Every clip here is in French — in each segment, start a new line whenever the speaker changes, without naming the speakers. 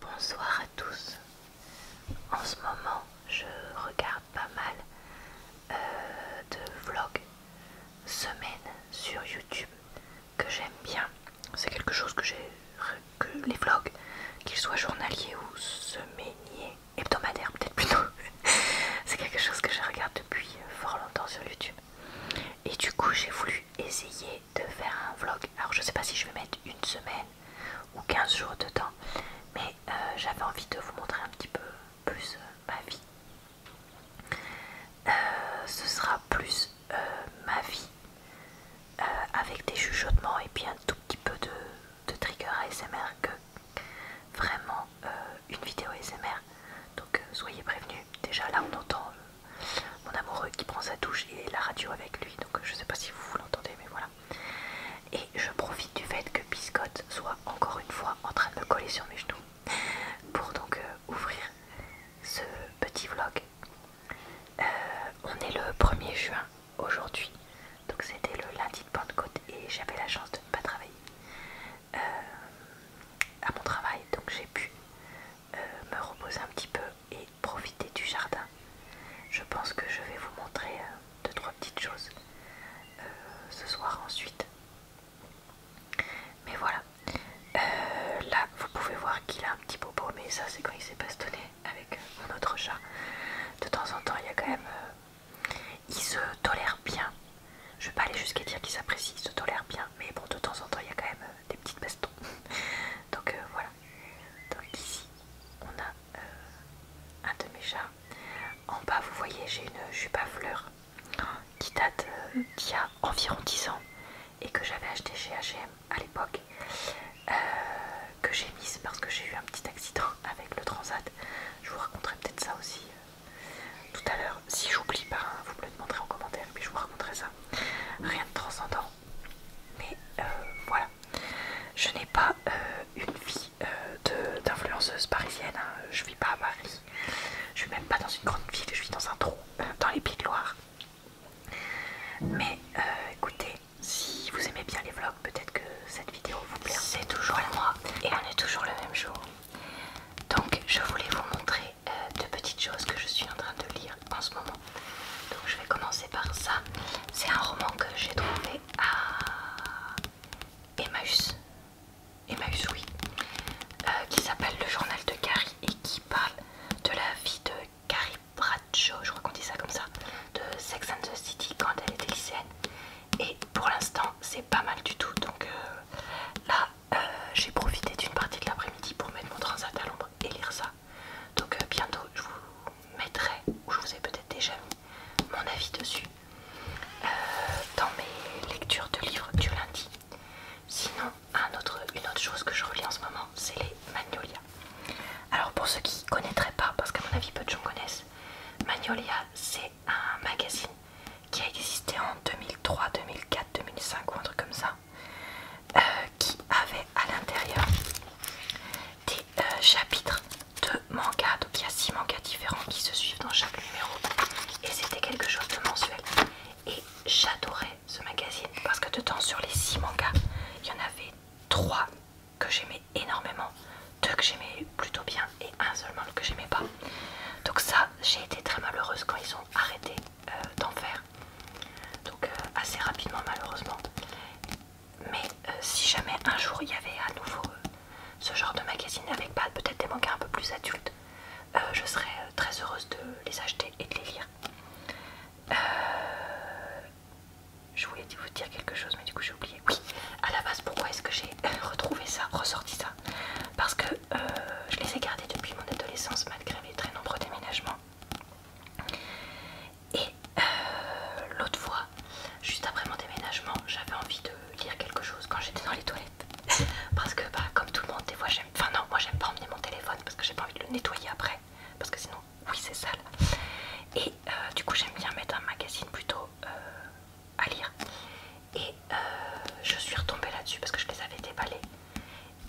Bonsoir à tous. En ce moment, je regarde pas mal euh, de vlogs semaines sur YouTube que j'aime bien. C'est quelque chose que j'ai que les vlogs, qu'ils soient journaliers ou semainiers, hebdomadaires peut-être plutôt. C'est quelque chose que je regarde depuis fort longtemps sur YouTube. Et du coup, j'ai voulu essayer de faire un vlog. Alors je sais pas si je vais mettre une semaine ou 15 jours de temps, mais euh, j'avais envie de vous montrer un petit peu plus euh, ma vie. Euh, ce sera plus ma vie avec des chuchotements et puis un tout petit peu de, de trigger ASMR que vraiment une vidéo ASMR. Donc soyez prévenus, déjà là on entend mon amoureux qui prend sa douche et la radio avec lui, donc euh, je sais pas si vous, l'entendez, mais voilà. Et je profite du fait que Biscotte soit encore une fois en train de me coller sur mes genoux pour donc euh, ouvrir ce petit vlog. Euh, on est le 1er juin aujourd'hui, donc c'était le lundi de Pentecôte et j'avais la chance de ne pas travailler à mon travail, donc j'ai pu me reposer un petit peu et profiter du jardin. Je pense que je vais vous montrer euh, deux trois petites choses euh, ce soir ensuite. Mais voilà. Euh, là, vous pouvez voir qu'il a un petit bobo, mais ça c'est quand il s'est bastonné avec mon autre chat. De temps en temps, il y a quand même, il se tolère bien. Je vais pas aller jusqu'à dire qu'il s'apprécie, il se tolère bien, mais bon, de temps en temps, il y a quand même des petites bastons. Donc euh, voilà. Donc ici, on a euh, un de mes chats. En bas, vous voyez, j'ai une jupe à fleurs qui date euh, d'il y a environ 10 ans et que j'avais acheté chez H&M à l'époque, que j'ai mise parce que j'ai eu un petit accident avec le transat. Je vous raconterai peut-être ça aussi tout à l'heure. Si j'oublie pas, hein, vous me le demanderez en commentaire, mais je vous raconterai ça. Rien de transcendant, mais euh, voilà je n'ai pas euh, une vie euh, d'influenceuse parisienne hein. je ne vis pas à Paris je suis même pas dans une grande ville je vis dans un trou dans les Pays de Loire mais écoutez si vous aimez bien les vlogs peut-être que cette vidéo vous plaira c'est toujours moi et on est toujours le même jour donc je voulais vous montrer deux petites choses que je suis en train de lire en ce moment. Donc je vais commencer par ça. C'est un roman que j'ai trouvé à Emmaüs. Emmaüs oui. Euh, qui s'appelle Le journal de Carrie et qui parle de la vie de Carrie Bradshaw, je crois qu'on dit ça comme ça, de Sex and the City quand elle était lycéenne. Et pour l'instant c'est pas mal du tout. Donc euh, là euh, j'ai profité d'une partie de l'après-midi pour mettre mon transat à l'ombre et lire ça. Donc euh, bientôt je vous mettrai, ou je vous ai peut-être déjà mis mon avis dessus, euh, dans mes lectures de livres du lundi. Sinon, une autre chose que je relis en ce moment, c'est les Magnolia. Alors pour ceux qui ne connaîtraient pas, parce qu'à mon avis peu de gens connaissent, Magnolia c'est un magazine qui a existé en 2003, 2004, 2005 ou un truc comme ça, euh, qui avait à l'intérieur des euh, chapitres de mangas Donc il y a 6 mangas différents qui se suivent dans chaque numéro. Et c'était quelque chose de mensuel. Et j'adorais ce magazine parce que de temps sur les 6 mangas, il y en avait 3 que j'aimais énormément, 2 que j'aimais plutôt bien et un seulement que j'aimais pas. Donc ça, j'ai été très malheureuse quand ils ont arrêté euh, d'en faire donc euh, assez rapidement malheureusement. Mais euh, si jamais un jour il y avait à nouveau euh, ce genre de magazine avec peut-être des mangas un peu plus adultes, je serais très heureuse de les acheter et de les lire. je voulais vous dire quelque chose, mais du coup j'ai oublié. Oui, à la base, pourquoi est-ce que j'ai retrouvé ça, ressorti ça Parce que je les ai gardés depuis mon adolescence, malgré les très nombreux déménagements. Et euh, l'autre fois, juste après mon déménagement, j'avais envie de lire quelque chose quand j'étais dans les toilettes. parce que, bah, comme tout le monde, des fois j'aime. Enfin, non, moi j'aime pas emmener mon téléphone parce que j'ai pas envie de le nettoyer après. Parce que sinon, oui, c'est sale. Et euh, du coup, j'aime bien mettre un magazine plutôt euh, à lire. Et je suis retombée là-dessus parce que je les avais déballés.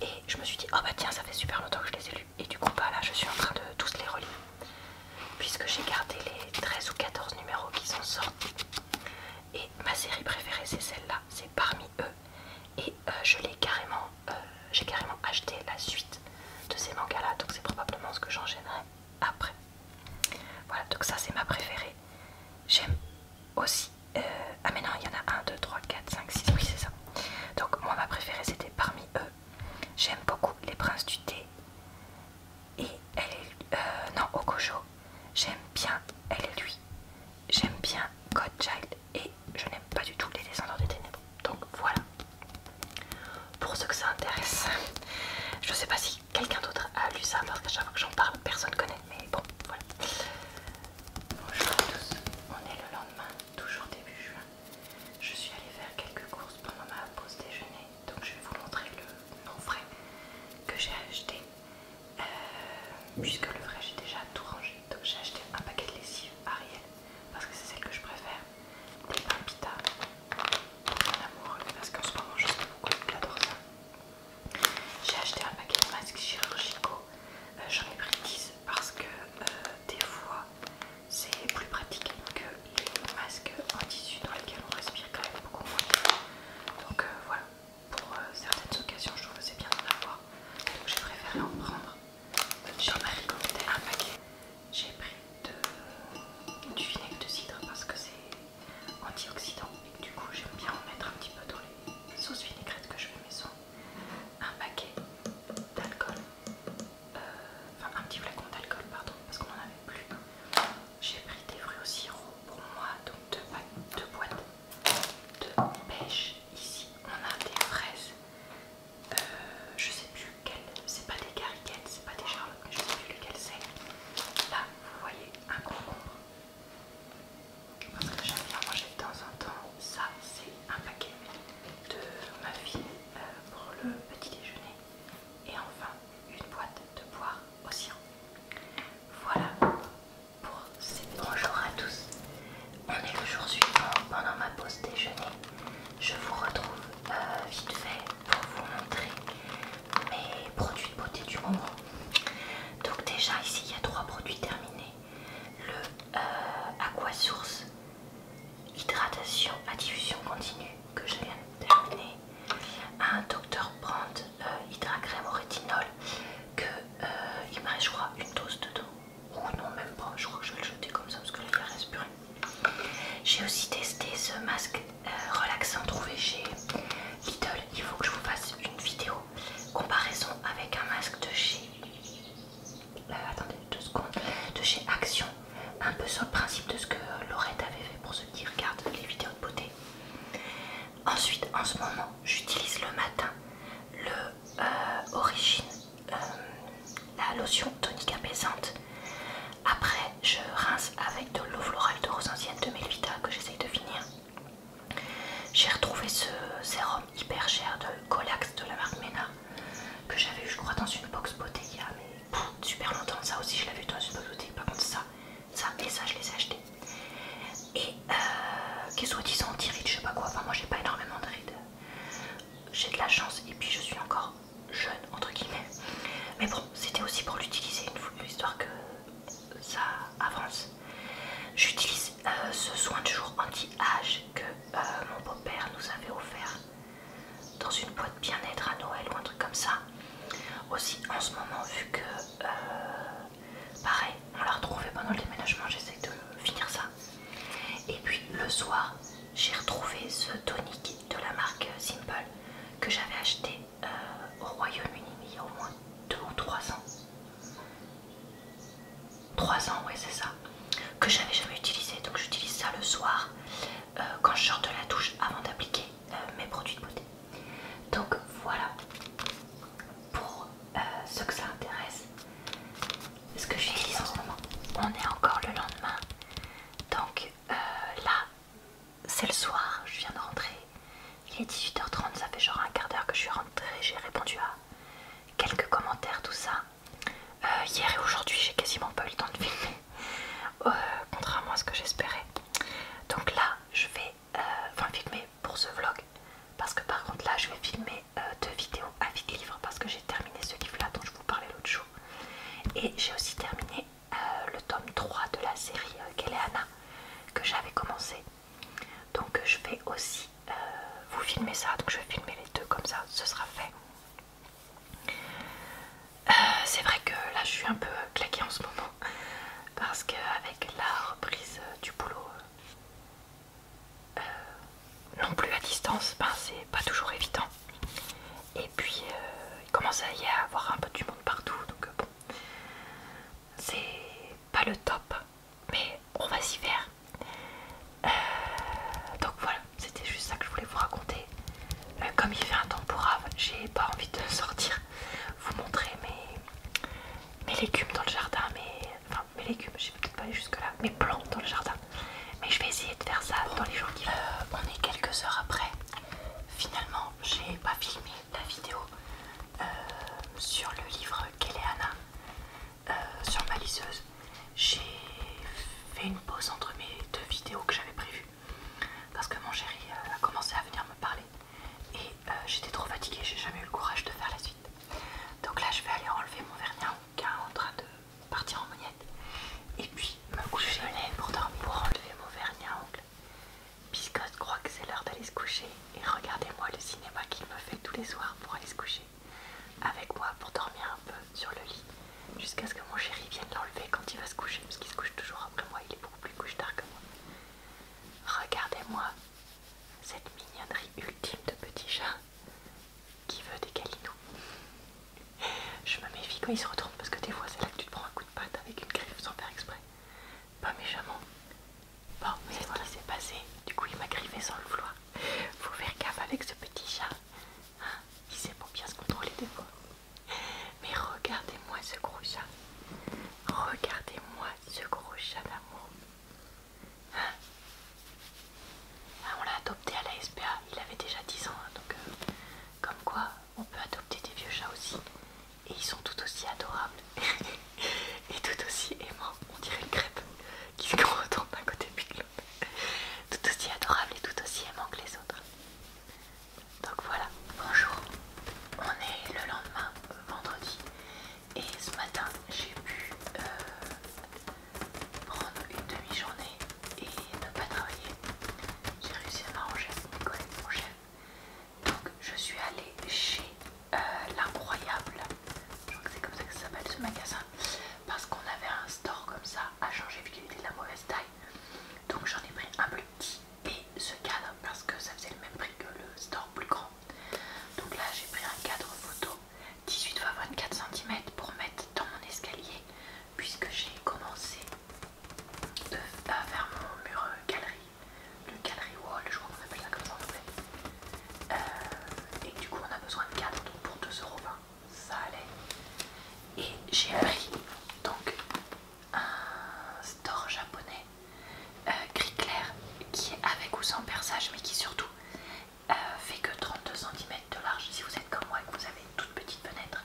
Et je me suis dit, oh bah tiens, ça fait super longtemps que je les ai lus. Et du coup, bah là, je suis en train de tous les relire. Puisque j'ai gardé les 13 ou 14 numéros qui sont sortis. Et ma série préférée, c'est celle-là. C'est parmi eux. Et euh, je l'ai carrément, euh, j'ai carrément acheté la suite de ces mangas-là. Donc c'est probablement ce que j'enchaînerai après. Voilà, donc ça, c'est ma préférée. J'aime aussi euh, ah mais non, il y en a 1, 2, 3, 4, 5, 6, oui c'est ça. Donc moi ma préférée c'était parmi eux. J'aime beaucoup les princes du thé. Et elle est... Euh, non, Okojo. J'aime bien elle et lui. J'aime bien Godchild. Et je n'aime pas du tout les descendants des ténèbres. Donc voilà. Pour ceux que ça intéresse. Je sais pas si quelqu'un d'autre a lu ça parce qu'à chaque que j'en parle, personne connaît. Mais bon, voilà. Bonjour à tous. On est le lendemain toujours début juin, je suis allée faire quelques courses pendant ma pause déjeuner. Donc je vais vous montrer le non vrai que j'ai acheté. Euh, puisque le vrai j'ai déjà tout rangé. Donc j'ai acheté un paquet de lessive Ariel parce que c'est celle que je préfère. Des pour mon amoureux parce qu'en ce moment je sais beaucoup, j'adore ça. J'ai acheté un paquet de masques chirurgicaux, euh, j'en ai pris 10 parce que euh, des fois c'est plus pratique que les masques en tissu dans lesquels on respire quand même beaucoup moins. Donc euh, voilà, pour euh, certaines occasions je trouve que c'est bien d'en avoir. Donc j'ai préféré en prendre. J'ai un paquet. J'ai pris du vinaigre de cidre parce que c'est antioxydant et du coup j'aime bien en mettre un petit peu dans les sauces vinaigrettes que je fais maison un paquet d'alcool, euh, enfin un petit flacon d'alcool, pardon, parce qu'on en avait plus. J'ai pris des fruits au sirop pour moi, donc deux, boîtes de pêche. Ici, on a des fraises, euh, je sais plus quelles, c'est pas des carriquettes, c'est pas des charlottes, mais je sais plus lesquelles c'est. Là, vous voyez un concombre parce que j'aime bien manger de temps en temps. Ça, c'est un paquet de ma fille euh, pour le petit déjeuner. Et enfin, une boîte de boire au Voilà pour ces Bonjour à tous. On est le jour suivant pendant ma pause déjeuner. Je vous retrouve euh, vite fait pour vous montrer mes produits de beauté du moment. Donc déjà ici il y a trois produits terminés le Aqua euh, Source Hydratation à diffusion continue que je viens de terminer, un docteur brand euh, hydra crème au rétinol que euh, il me reste je crois une dose dedans ou non même pas, je crois que je vais le jeter comme ça parce que là il reste plus J'ai aussi testé ce masque relaxant trouvé chez Lidl, il faut que je vous fasse une vidéo comparaison avec un masque de chez euh, attendez deux secondes, de chez Action, un peu sur le principe de ce que Laurette avait fait pour ceux qui regardent les vidéos de beauté. Ensuite, en ce moment, j'utilise le matin le euh, Origine, euh, la lotion tonique apaisante. Après, je rince avec de l'eau florale de rose ancienne de Melvita que j'essaye de finir. J'ai retrouvé ce sérum hyper cher de Colax de la marque Mena que j'avais eu je crois dans une box beauté il y a mais, super longtemps. Ça aussi je l'avais eu dans une box beauté. Par contre ça, ça et ça je les ai achetés. Et euh, qui soit disant anti-rides, je sais pas quoi. moi j'ai pas énormément de rides. J'ai de la chance et puis je suis encore jeune entre guillemets. Mais bon c'était aussi pour l'utiliser une histoire que ça avance J'utilise euh, ce soin de jour anti-âge que euh, mon beau-père nous avait offert dans une boîte bien-être à Noël ou un truc comme ça. Aussi en ce moment vu que euh, pareil on l'a retrouvé pendant le déménagement, j'essaie de finir ça. Et puis le soir j'ai retrouvé ce tonique de la marque Simple que j'avais acheté au Royaume-Uni il y a au moins deux ou trois ans. 3 ans, ouais, c'est ça. Que j'avais jamais utilisé. Donc j'utilise ça le soir euh, quand je sors de la douche avant d'appliquer euh, mes produits de beauté. Donc voilà pour euh, ceux que ça intéresse. Ce que j'utilise en ce moment. On est encore le lendemain. Donc là, c'est le soir. Je viens de rentrer. Il est 18h30. Ça fait genre un quart d'heure que je suis rentrée. J'ai répondu à quelques commentaires, tout ça. Euh, hier et aujourd'hui, j'ai quasiment pas eu le temps de filmer, euh, contrairement à ce que j'espérais. Donc là, je vais euh, enfin filmer pour ce vlog, parce que par contre là, je vais filmer deux vidéos à vide livre, parce que j'ai terminé ce livre-là dont je vous parlais l'autre jour. Et j'ai aussi terminé le tome 3 de la série galeana que j'avais commencé donc je vais aussi euh, vous filmer ça donc je vais filmer les deux comme ça ce sera fait euh, c'est vrai que là je suis un peu claquée en ce moment parce qu'avec la reprise du boulot euh, non plus à distance ben c'est pas toujours évident et puis il commence à y avoir un peu du monde partout donc bon c'est pas le top mais on va s'y faire. Euh, donc voilà, c'était juste ça que je voulais vous raconter. mais euh, comme il fait un temps pourrave, j'ai pas envie de sortir, vous montrer mes, mes légumes dans le jardin, mais enfin mes légumes, je peut-être pas aller jusque là, mes plantes dans le jardin. Mais je vais essayer de faire ça dans les jours qui viennent. Euh, on est quelques heures après. Finalement, j'ai pas filmé la vidéo euh, sur le livre Kéléana euh, sur ma lisseuse. J'ai fait une pause entre mes deux vidéos que j'avais prévues parce que mon chéri euh, a commencé à venir me parler et j'étais trop fatiguée, j'ai jamais eu le courage de faire la suite. Donc là, je vais aller enlever mon vernis à ongles en train de partir en monnette et puis me coucher pour dormir pour enlever mon vernis à ongles Biscotte croit que c'est l'heure d'aller se coucher et regardez-moi le cinéma qu'il me fait tous les soirs pour aller se coucher. Avec moi pour dormir un peu sur le lit jusqu'à ce que mon chéri vienne l'enlever quand il va se coucher parce qu'il se couche toujours après moi, il est beaucoup plus couche-tard que moi. Regardez-moi cette mignonnerie ultime de petit chat qui veut des câlinous. Je me méfie quand il se retourne parce que des fois c'est là que tu te prends un coup de patte avec une griffe sans faire exprès pas méchamment. Bon, mais voilà. c'est passé. Du coup, il m'a griffé sans le vouloir. Faut faire gaffe avec ce petit chat. il hein, sait pour bien se contrôler des fois. Mais regardez-moi ce gros chat. Regardez-moi ce gros chat d'amour. Hein? Ah, on l'a adopté à la SPA. Il avait déjà 10 ans. Hein, donc, euh, comme quoi, on peut adopter des vieux chats aussi et ils sont tout aussi adorables et tout aussi aimants. On dirait une crêpe qui se retourne d'un côté puis de l'autre. Tout aussi adorables et tout aussi aimants que les autres. Donc voilà, bonjour. On est le lendemain, vendredi, et ce matin j'ai pu euh, prendre une demi-journée et ne pas travailler. J'ai réussi à m'arranger avec mon mon donc je suis allée chez euh, l'incroyable, je crois que c'est comme ça que ça s'appelle ce magasin, parce qu'on avait un store comme ça à changer vu qu'il était de la mauvaise taille. Donc j'en ai pris un plus petit et ce cadre parce que ça faisait le même prix que le store plus grand. Donc là j'ai pris un cadre photo 18 x 24 cm pour mettre dans mon escalier puisque j'ai commencé de, à euh, faire mon mur euh, galerie le gallery wall, je crois qu'on appelle ça comme ça en euh, et du coup, on a besoin de 4 donc pour 2,20€, ça allait. Et j'ai appris donc un store japonais euh, gris clair qui est avec ou sans perçage, mais qui surtout euh, fait que 32 cm de large. Si vous êtes comme moi et que vous avez une toute petite fenêtre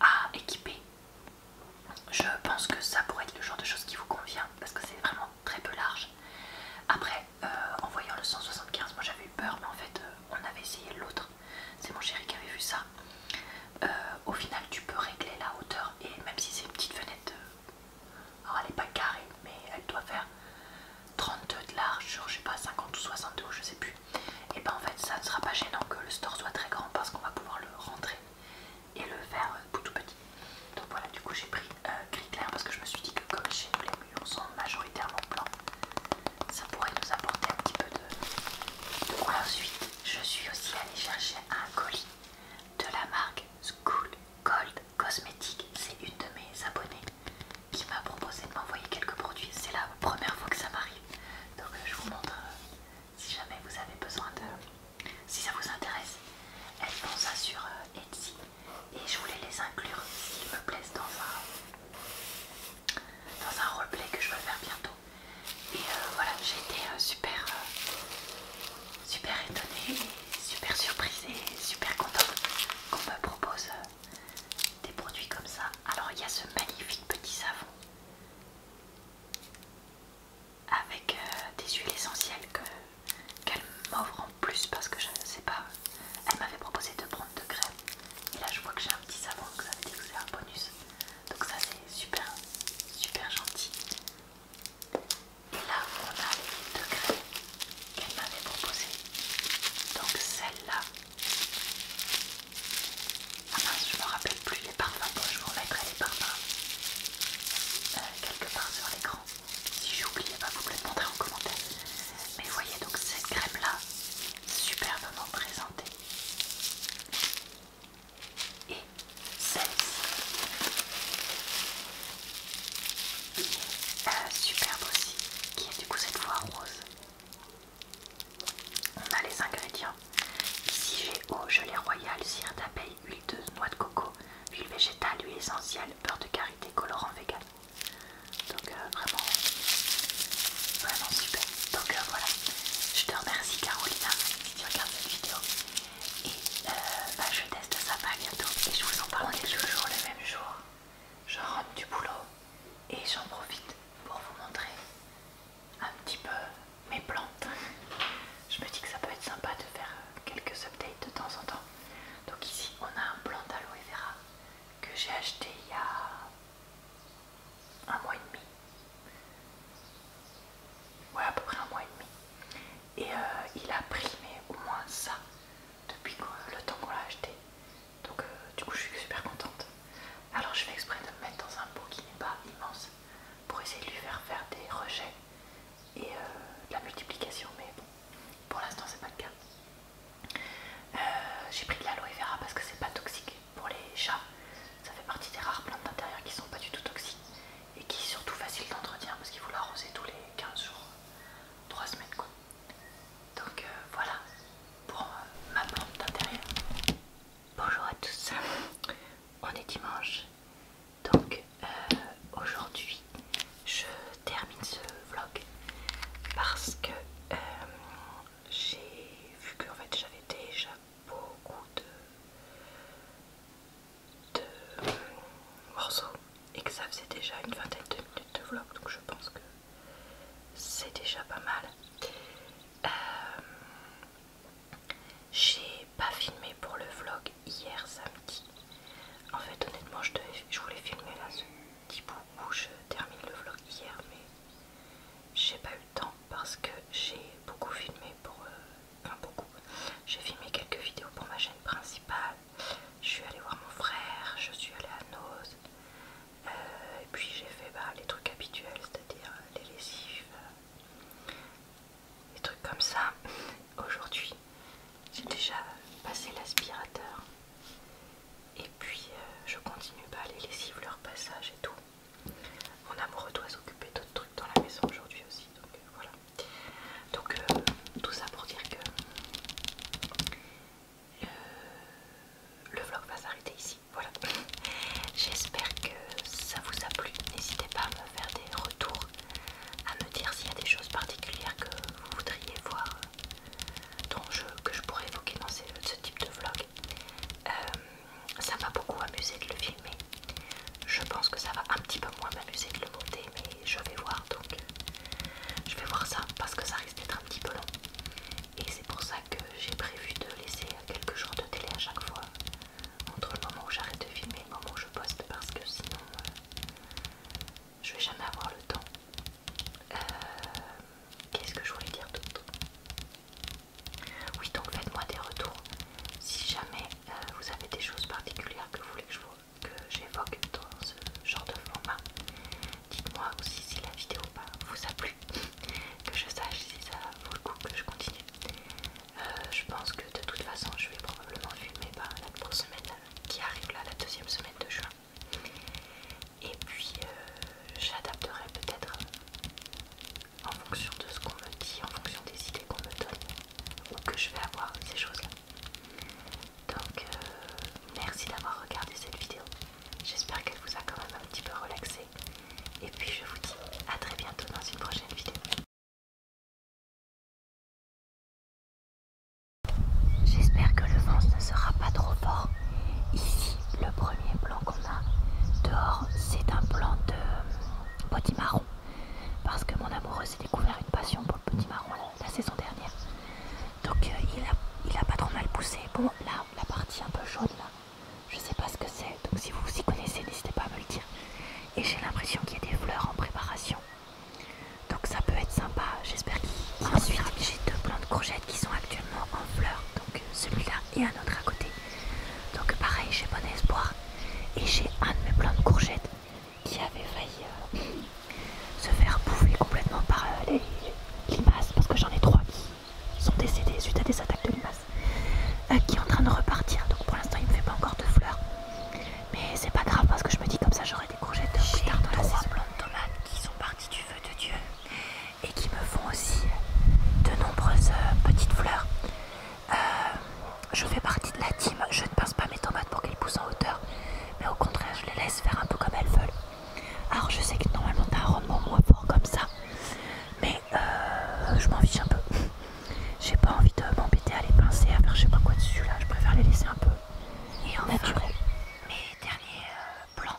à équiper je pense que ça pourrait être le genre de chose qui vous convient parce que c'est vraiment très peu large. Après, euh, en voyant le 175, moi j'avais eu peur, mais en fait, euh, on avait essayé l'autre. C'est mon chéri qui avait vu ça. Euh, au final, tu peux régler la hauteur et même si c'est une petite fenêtre, alors elle n'est pas carrée, mais elle doit faire 32 de large je sais pas 50 ou 62 je sais plus. Et ben en fait, ça ne sera pas gênant que le store soit très grand parce qu'on va pouvoir le rentrer et le vert euh, tout petit. Donc voilà, du coup j'ai pris un euh, gris clair parce que je me suis dit que comme chez les sont majoritairement blancs, ça pourrait nous apporter un petit peu de... ensuite, je suis aussi allée chercher un colis de la marque School Gold Cosmetics. C'est une de mes abonnées qui m'a proposé de m'envoyer quelques produits. C'est la première fois que ça m'arrive. Donc euh, je vous montre si jamais vous avez besoin de... Si ça vous intéresse, elles font ça sur euh, Etsy et je voulais les inclure s'ils me plaisent dans un, dans un roleplay que je veux faire bientôt. Et euh, voilà, j'ai été euh, super, super étonnée, super surprise et super contente qu'on me propose des produits comme ça. Alors il y a ce magnifique petit savon avec euh, des huiles essentielles qu'elle m'offre en plus parce que je ne sais pas, elle m'avait proposé de prendre de crème et là je vois que j'ai un petit savon que ça fait que c'est un bonus donc ça c'est super super gentil et là on a les deux de qu'elle m'avait proposées, donc celle-là ah mince, je me rappelle plus les parfums. Bon, je vous remettrai les parfums euh, quelque part sur l'écran. Si j'oublie oublié, bah, vous me le montrer en commentaire. Mais voyez donc cette crème-là, superbement présentée. Et celle-ci, est euh, superbe aussi, qui est du coup cette fois rose. On a les ingrédients. Ici j'ai eau, gelée royale, cire d'abeille, huile de noix de coco, huile végétale, huile essentielle, beurre de karité, colorant vegan. Donc euh, vraiment, vraiment super. Donc euh, voilà, je te remercie Carolina si tu regardes cette vidéo. Et euh, bah, je teste ça pas bah, bientôt. Et je vous en parle. On toujours le même jour. Je rentre du boulot et j'en profite pour vous montrer un petit peu mes plantes. Je me dis que ça peut être sympa de faire euh, quelques updates de temps en temps. Donc ici on a un plant d'aloe vera que j'ai acheté il y a un mois et demi. Ouais à peu près un mois et demi. Et euh, il a primé au moins ça depuis le temps qu'on l'a acheté. Donc euh, du coup je suis super contente. Alors je vais exprès de me mettre dans un pot qui n'est pas immense pour essayer de lui faire faire des rejets et euh, de la multiplication, mais bon, pour l'instant c'est pas le cas. Euh, j'ai pris de l'aloe vera parce que c'est pas toxique pour les chats, ça fait partie des rares plantes d'intérieur qui sont pas du tout toxiques et qui sont surtout facile d'entretien parce qu'il faut l'arroser tous les 15 jours, 3 semaines quoi. Donc euh, voilà pour ma plante d'intérieur. Bonjour à tous, on est dimanche, donc euh, aujourd'hui je termine ce vlog parce que euh, j'ai vu que fait, j'avais déjà beaucoup de, de euh, morceaux et que ça faisait déjà une vingtaine de minutes de vlog donc je pense que c'est déjà pas mal. J'ai pas filmé pour le vlog hier samedi. En fait, honnêtement, je, je voulais filmer là ce petit bout où je termine le vlog hier, mais j'ai pas eu le temps parce que j'ai beaucoup filmé pour. Euh, enfin, beaucoup. J'ai filmé quelques vidéos pour ma chaîne principale. Je suis allée voir mon frère, je suis allée à Nose euh, et puis j'ai fait bah, les trucs habituels, c'est-à-dire les euh, lessives, euh, et trucs comme ça. Aujourd'hui, j'ai déjà passé l'aspirateur et puis euh, je continue pas les lessives, leur passage et tout. Mon amoureux doit s'occuper d'autres trucs dans la maison aujourd'hui aussi, donc voilà. Donc tout ça pour dire que le vlog va s'arrêter ici. Voilà. J'espère que ça vous a plu. N'hésitez pas à me faire des retours, à me dire s'il y a des choses particulières que vous voudriez voir, euh, que je pourrais évoquer dans ce, type de vlog. Euh, ça m'a beaucoup amusé de le filmer. Je pense que ça va un petit peu moins m'amuser de le monter, mais je vais voir donc. Euh, je vais voir ça parce que ça risque d'être un petit peu long. Et c'est pour ça que j'ai prévu de laisser quelques jours de télé à chaque fois, entre le moment où j'arrête de filmer et le moment où je poste, parce que sinon euh, je vais jamais avoir le temps. Euh, qu'est-ce que je voulais dire d'autre Oui, donc faites-moi des retours. Si jamais euh, vous avez des choses particulières que vous voulez que j'évoque dans ce genre de format, dites-moi aussi si la vidéo vous a plu, que je sache si ça vaut le coup que je continue. Euh, je pense que de toute façon je vais probablement filmer ben, la prochaine semaine qui arrive là, la deuxième semaine de juin. Et puis euh, j'adapterai peut-être euh, en fonction de ce qu'on me dit, en fonction des idées qu'on me donne ou que je vais avoir ces choses-là. Donc merci d'avoir regardé cette vidéo. J'espère qu'elle vous a quand même un petit peu relaxé. Et puis je vous dis à très bientôt dans une prochaine vidéo. J'espère que le vent ne sera pas trop fort. Ici, le premier plan qu'on a dehors, c'est un plan de euh, potimarron. Parce que mon amoureux s'est découvert une passion pour le potimarron la, la saison dernière. Donc euh, il, a, pas trop mal poussé. Bon, là, la partie un peu jaune là je sais pas ce que c'est, donc si vous vous y connaissez, n'hésitez pas à me le dire. Et j'ai l'impression qu'il y a des fleurs en préparation, donc ça peut être sympa. J'espère qu'il Ensuite, j'ai deux de courgettes qui sont actuellement en fleurs, donc euh, celui-là et un autre à côté. Donc pareil, j'ai bon espoir. Et j'ai un de mes plans de courgettes qui avait failli euh, se faire bouffer complètement par euh, les limaces parce que j'en ai trois sont décédés suite à des attaques de limaces. Euh, qui est en train de repartir, donc pour l'instant il me fait pas encore de fleurs. Mais c'est pas grave parce que je me dis comme ça j'aurai des courgettes plus tard dans la de tomates qui sont parties du feu de Dieu et qui me font aussi de nombreuses euh, petites fleurs. Euh, je fais partie de la team, je ne pince pas mes tomates pour qu'elles poussent en hauteur, mais au contraire je les laisse faire un peu comme elles veulent. Alors je sais que normalement t'as un rendement moins fort comme ça, mais euh, je m'en fiche un peu. J'ai pas envie de m'embêter à les pincer, à faire je sais pas quoi dessus là, je préfère les laisser un peu. Et en naturel. Mais mes derniers euh, plans,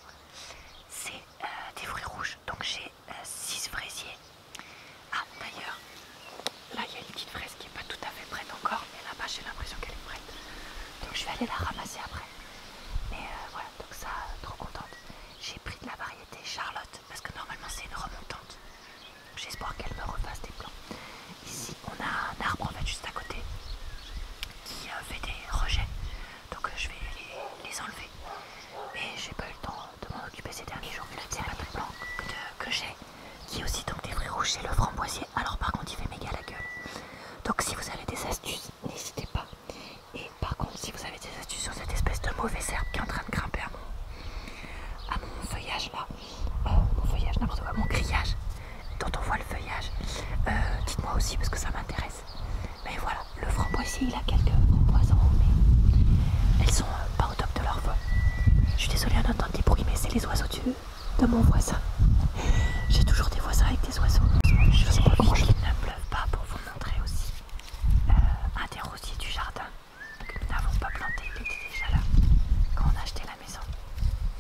c'est euh, des fruits rouges. Donc j'ai 6 fraisiers. Ah d'ailleurs, là il y a une petite fraise qui est pas tout à fait prête encore, mais là-bas j'ai l'impression qu'elle est prête. Donc je vais aller la ramasser après. Mais voilà donc ça, trop contente. J'ai pris de la variété Charlotte, parce que normalement c'est une remontante. J'espère qu'elle me refasse des plans. Ici, on a un arbre en fait juste à côté qui euh, fait des rejets. Donc euh, je vais les, enlever. Mais j'ai pas eu le temps de m'en occuper ces derniers jours. le c'est pas plus blanc que, que j'ai, qui est aussi donc des fruits rouges, c'est le framboisier. Alors par contre, il fait méga la gueule. Donc si vous avez des astuces n'hésitez pas. Et par contre, si vous avez des astuces sur cette espèce de mauvais herbe qui est en train de grimper à mon, feuillage là, euh, mon feuillage, n'importe quoi, mon grillage, dont on voit le feuillage, euh, dites-moi aussi parce que ça m'intéresse. Mais voilà, le framboisier, il a quelques framboises mais elles sont euh, pas au top de leur voix. Je suis désolée d'entendre des bruits, mais c'est les oiseaux de mon voisin. J'ai toujours des voisins avec des oiseaux. Je sais pas comment je ne pleuve pas pour vous vous montrer aussi euh, un des rosiers du jardin que nous n'avons pas planté, il était déjà là quand on a acheté la maison,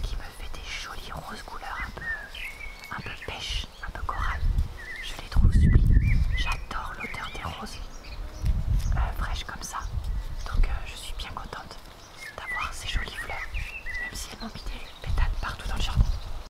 qui me fait des jolies roses couleurs un peu, pêche, un peu corail. Je les trouve sublimes. J'adore l'odeur des roses euh, fraîches comme ça. Donc euh, je suis bien contente d'avoir ces jolies fleurs, même si elles m'ont mis des partout dans le jardin.